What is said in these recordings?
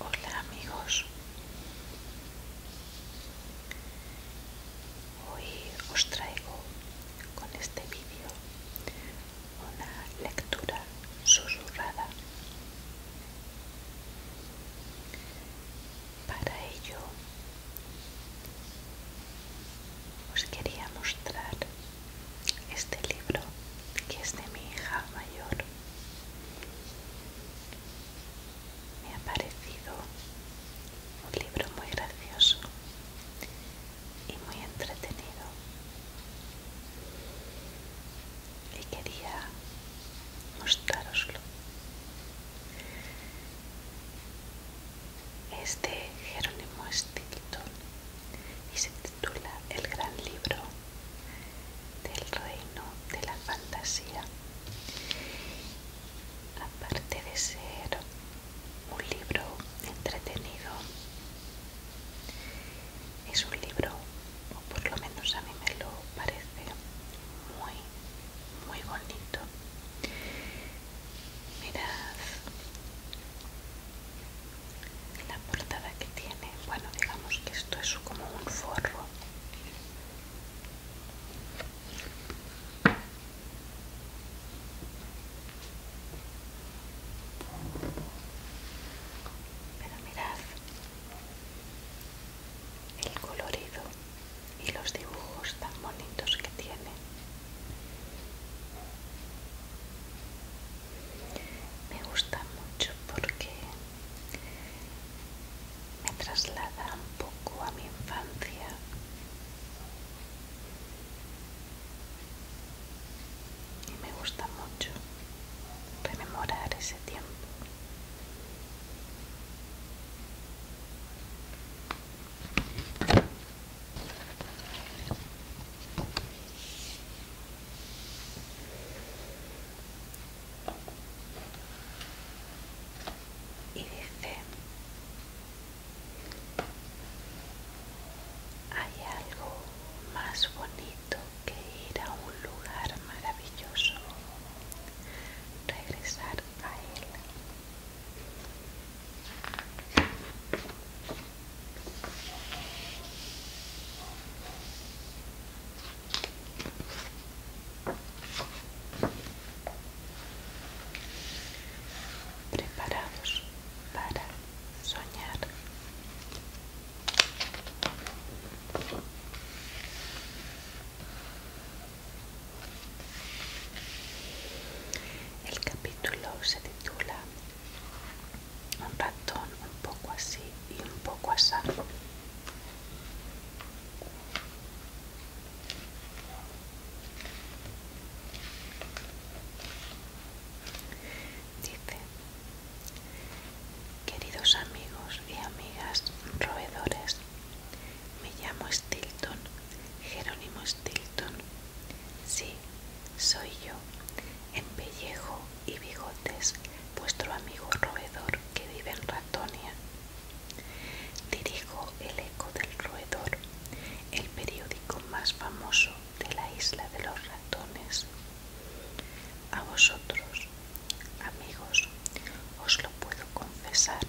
Hola amigos, hoy os traigo con este vídeo una lectura susurrada para ello os quería mostrar este libro que es de mi hija mayor. Me ha parecido un libro muy gracioso y muy entretenido. Y quería mostraroslo es de Jerónimo Stilton y se titula El Gran Libro del Reino de la Fantasía. Aparte de ser un libro entretenido, es un libro, o por lo menos a mí me lo parece, muy muy bonito mirad la portada que tiene bueno digamos que esto es como un forro pero mirad el colorido y los dibujos tan bonitos que tiene. Me gusta mucho porque me traslada un poco a mi infancia. Y me gusta mucho rememorar ese tiempo. Y dice, hay algo más bonito que ir a un lugar maravilloso regresar a él. Preparados para soñar. El capítulo se titula Un ratón un poco así y un poco asado. Dice, queridos amigos y amigas roedores, me llamo Stilton, Jerónimo Stilton. Sí, soy yo, en pellejo y bigotes, vuestro amigo roedor que vive en Ratonia. Dirijo El Eco del Roedor, el periódico más famoso de la isla de los ratones. A vosotros, Amigos, os lo puedo confesar.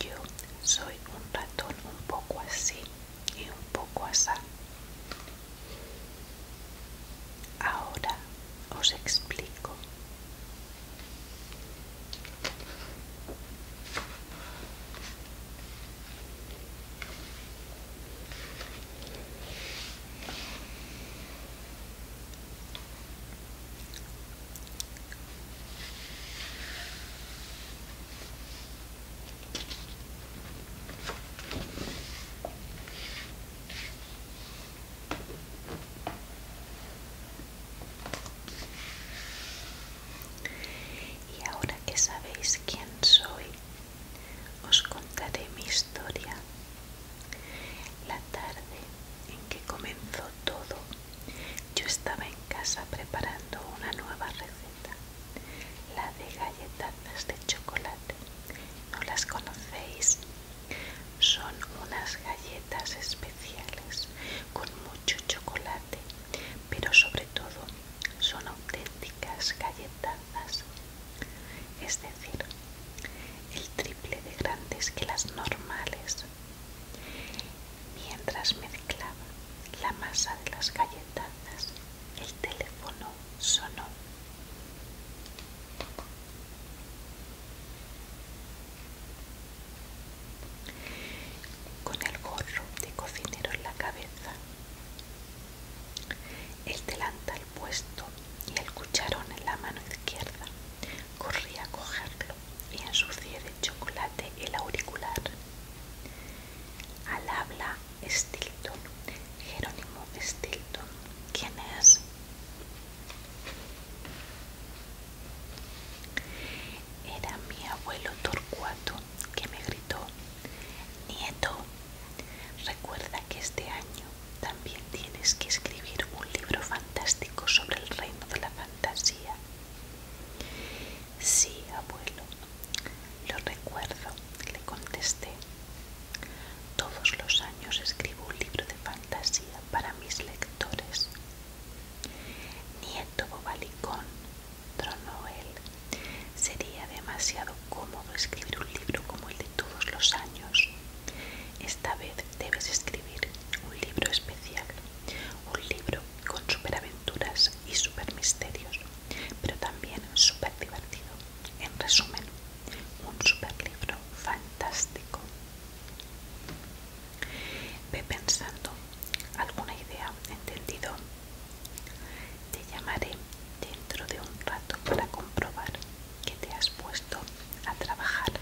Yo soy un ratón un poco así y un poco asá. Ahora os explico. Y ahora que sabéis quién soy, os contaré mi historia la tarde en que comenzó todo, yo estaba en casa preparando una nueva receta, la de galletazas de chocolate. ¿No las conocéis? Son unas galletas especiales con mucho chocolate, pero sobre todo son auténticas galletazas. Es decir, el triple de grandes que las normales, mientras mezclaba la masa de las galletazas, el teléfono sonó. Con el gorro de cocinero en la cabeza, el delantal puesto y el cucharón en la mano izquierda. Corrí a cogerlo y ensucié de chocolate el auricular. Al habla Stilton, Jerónimo Stilton, ¿quién es? Era mi abuelo Torcuato que me gritó, Nieto, recuerda que este año también tienes que escribir un libro fantástico sobre el reino de la fantasía. Sí, abuelo, lo recuerdo, le contesté. Todos los años escribo un libro de fantasía para mis lectores. Nieto Bobalicón, tronó él. Sería demasiado cómodo escribir un libro como el de todos los años. Esta vez debes escribir un libro especial, un libro con superaventuras y misterios, pero también súper divertido. En resumen, un superlibro fantástico. Ve pensando alguna idea, ¿entendido? Te llamaré dentro de un rato para comprobar que te has puesto a trabajar.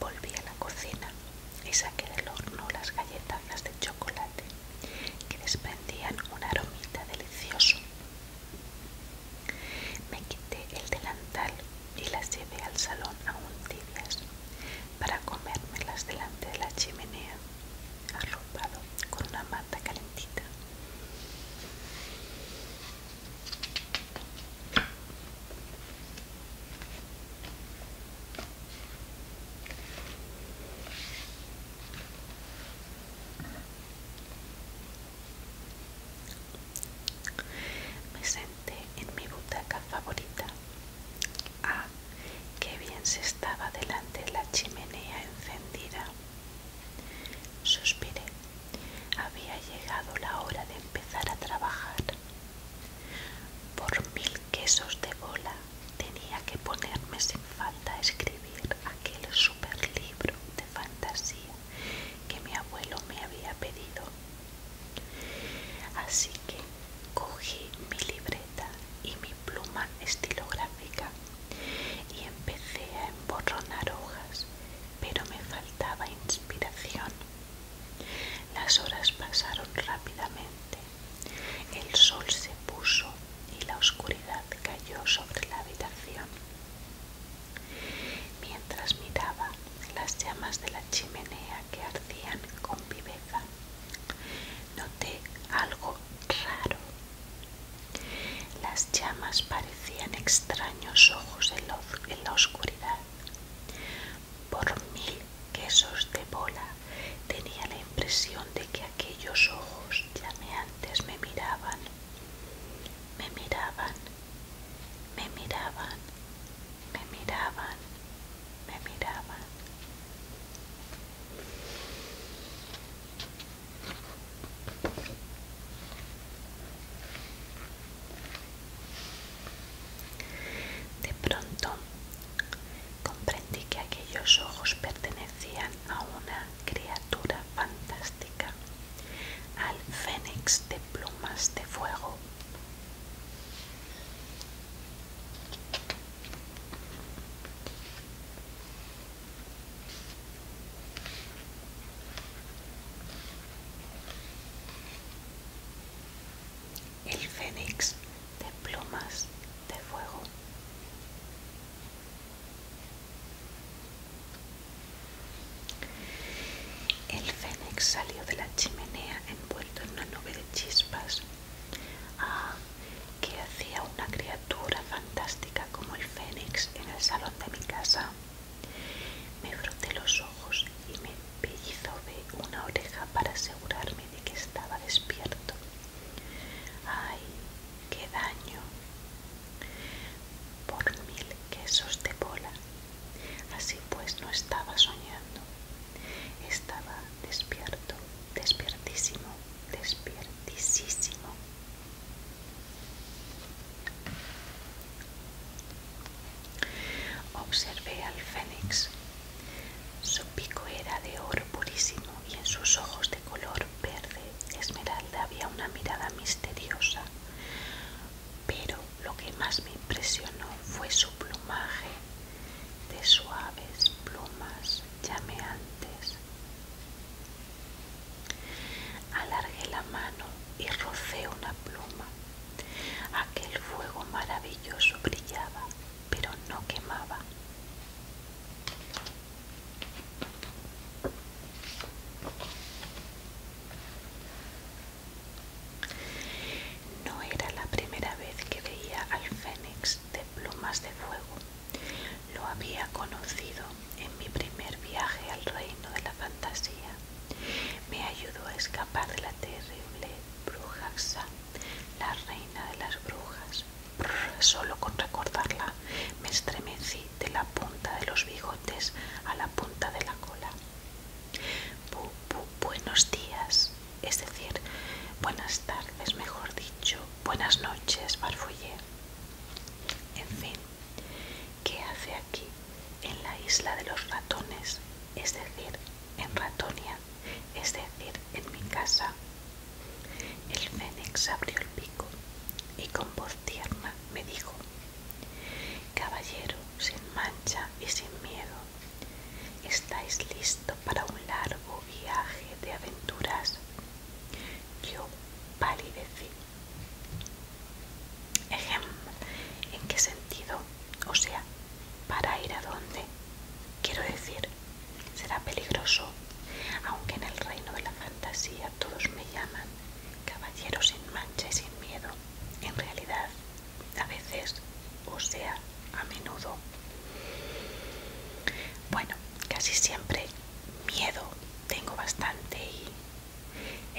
Volví a la cocina y saqué del horno las galletazas de chocolate que desprendían un aromita delicioso. Me quité el delantal y las llevé al salón aún tibias para comérmelas delante de la chimenea, arropado con una manta calentita. Me senté en mi butaca favorita. Ah, qué bien se estaba delante de la chimenea encendida. Suspiré había llegado la hora de empezar a trabajar. Por mil quesos de bola tenía que ponerme sin falta a escribir aquel super libro de fantasía que mi abuelo me había pedido. Así que cogí mi libreta y mi pluma estilográfica y empecé a emborronar hojas, pero me faltaba inspiración. Las horas pasaron rápidamente. El sol se puso y la oscuridad cayó sobre la habitación. Mientras miraba las llamas de la chimenea que ardían con viveza, noté algo raro las llamas parecían extraños ojos en, la oscuridad. Por mil quesos de bola tenía la impresión de que aquellos ojos llameantes me miraban, me miraban, me miraban, me miraban, me miraban. De pronto comprendí que aquellos ojos pertenecían a una criatura fantástica, al fénix de plumas de fuego. El fénix de plumas de fuego. El fénix salió de la chimenea envuelto en una nube de chispas. Ah, que hacía una criatura fantástica como el fénix en el salón de mi casa. Me froté los ojos y me pellizobé una oreja para asegurarme de que estaba despierto. ¡Ay, qué daño! Por mil quesos de bola. Así pues no estaba soñando. Estaba despierto, despiertísimo, despiertísimo. Observé al fénix. Su pico era de oro purísimo y en sus ojos de color verde esmeralda había una mirada misteriosa. Pero lo que más me impresionó fue su plumaje de suaves plumas llameantes. Alargué la mano y rocé una pluma. Aquel fuego maravilloso brillaba, pero no quemaba. No era la primera vez que veía al fénix de plumas de fuego. Lo había conocido en mi primer viaje al reino de la fantasía. Me ayudó a escapar de la terrible Brujaxa, la reina de las brujas. solo con recordarla me estremecí de la punta de los bigotes a la punta de la cola. Bu, buenos días, es decir, buenas tardes, mejor dicho, buenas noches, farfullé. En fin, ¿Qué hace aquí, en la isla de los ratones, es decir, en Ratonia, es decir, en mi casa? El fénix abrió el pico y con voz tierna me dijo, Caballero sin mancha y sin miedo, estáis listo para un largo viaje de aventuras. Yo palidecí Ejemplo, ¿en qué sentido? O sea, ¿para ir a dónde? Quiero decir, será peligroso, aunque en el reino de la fantasía todos me llaman caballero sin mancha y sin miedo. En realidad, a veces, o sea, a menudo. Bueno, casi siempre miedo tengo bastante y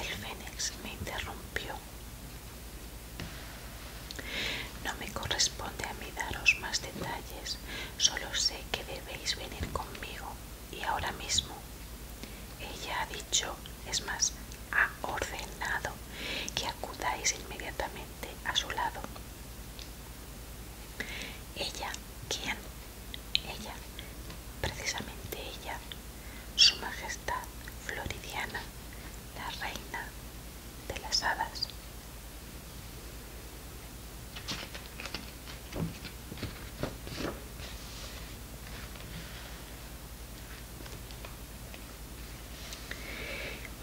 el fénix me interrumpió. No me corresponde a mí daros más detalles, solo sé que debéis venir conmigo y ahora mismo. Ella ha dicho, es más, ha ordenado que acudáis inmediatamente a su lado. Ella, ¿quién? Ella, precisamente ella, su majestad floridiana, la reina de las hadas.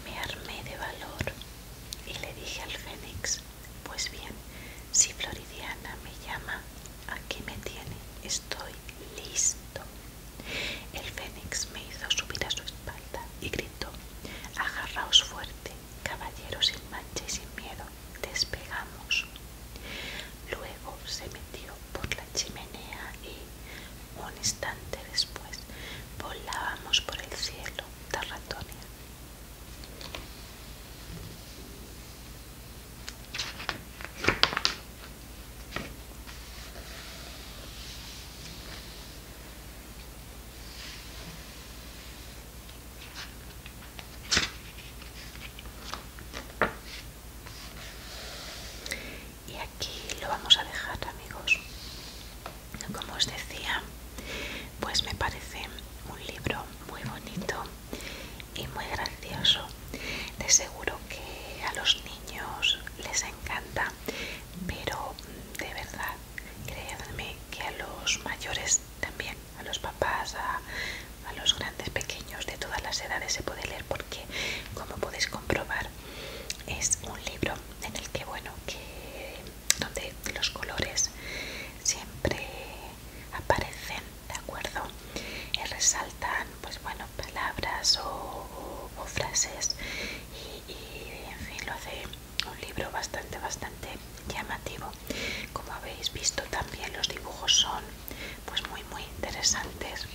Me armé de valor y le dije al fénix pues bien, si Floridiana me llama, aquí me tiene, estoy listo. El fénix me hizo subir a su espalda y gritó, agarraos fuerte, caballero sin mancha y sin miedo, despegamos. Luego se metió por la chimenea y, un instante después, volábamos por el cielo Tarratonia y aquí lo vamos a dejar, amigos. Como os decía, pues me parece un libro muy bonito y muy gracioso. De seguro que a los niños les encanta, pero mm, de verdad, créanme que a los mayores también, a los papás, a, a los grandes, pequeños, de todas las edades se puede leer porque, como podéis comprobar, es un libro en el que, bueno, que donde los colores siempre aparecen, ¿de acuerdo? Y resaltan, pues bueno, palabras o, frases y, en fin, lo hace un libro bastante, bastante llamativo. Como habéis visto también los dibujos son pues muy, muy interesantes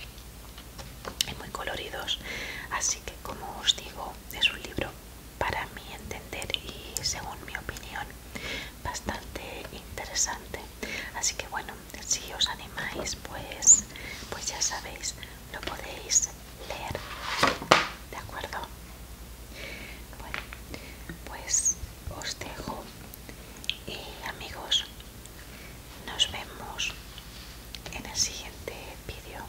y muy coloridos. Así que como os digo, es un libro para mi entender y según mi opinión bastante interesante así que bueno si os animáis pues pues ya sabéis lo podéis leer de acuerdo bueno pues os dejo y amigos nos vemos en el siguiente vídeo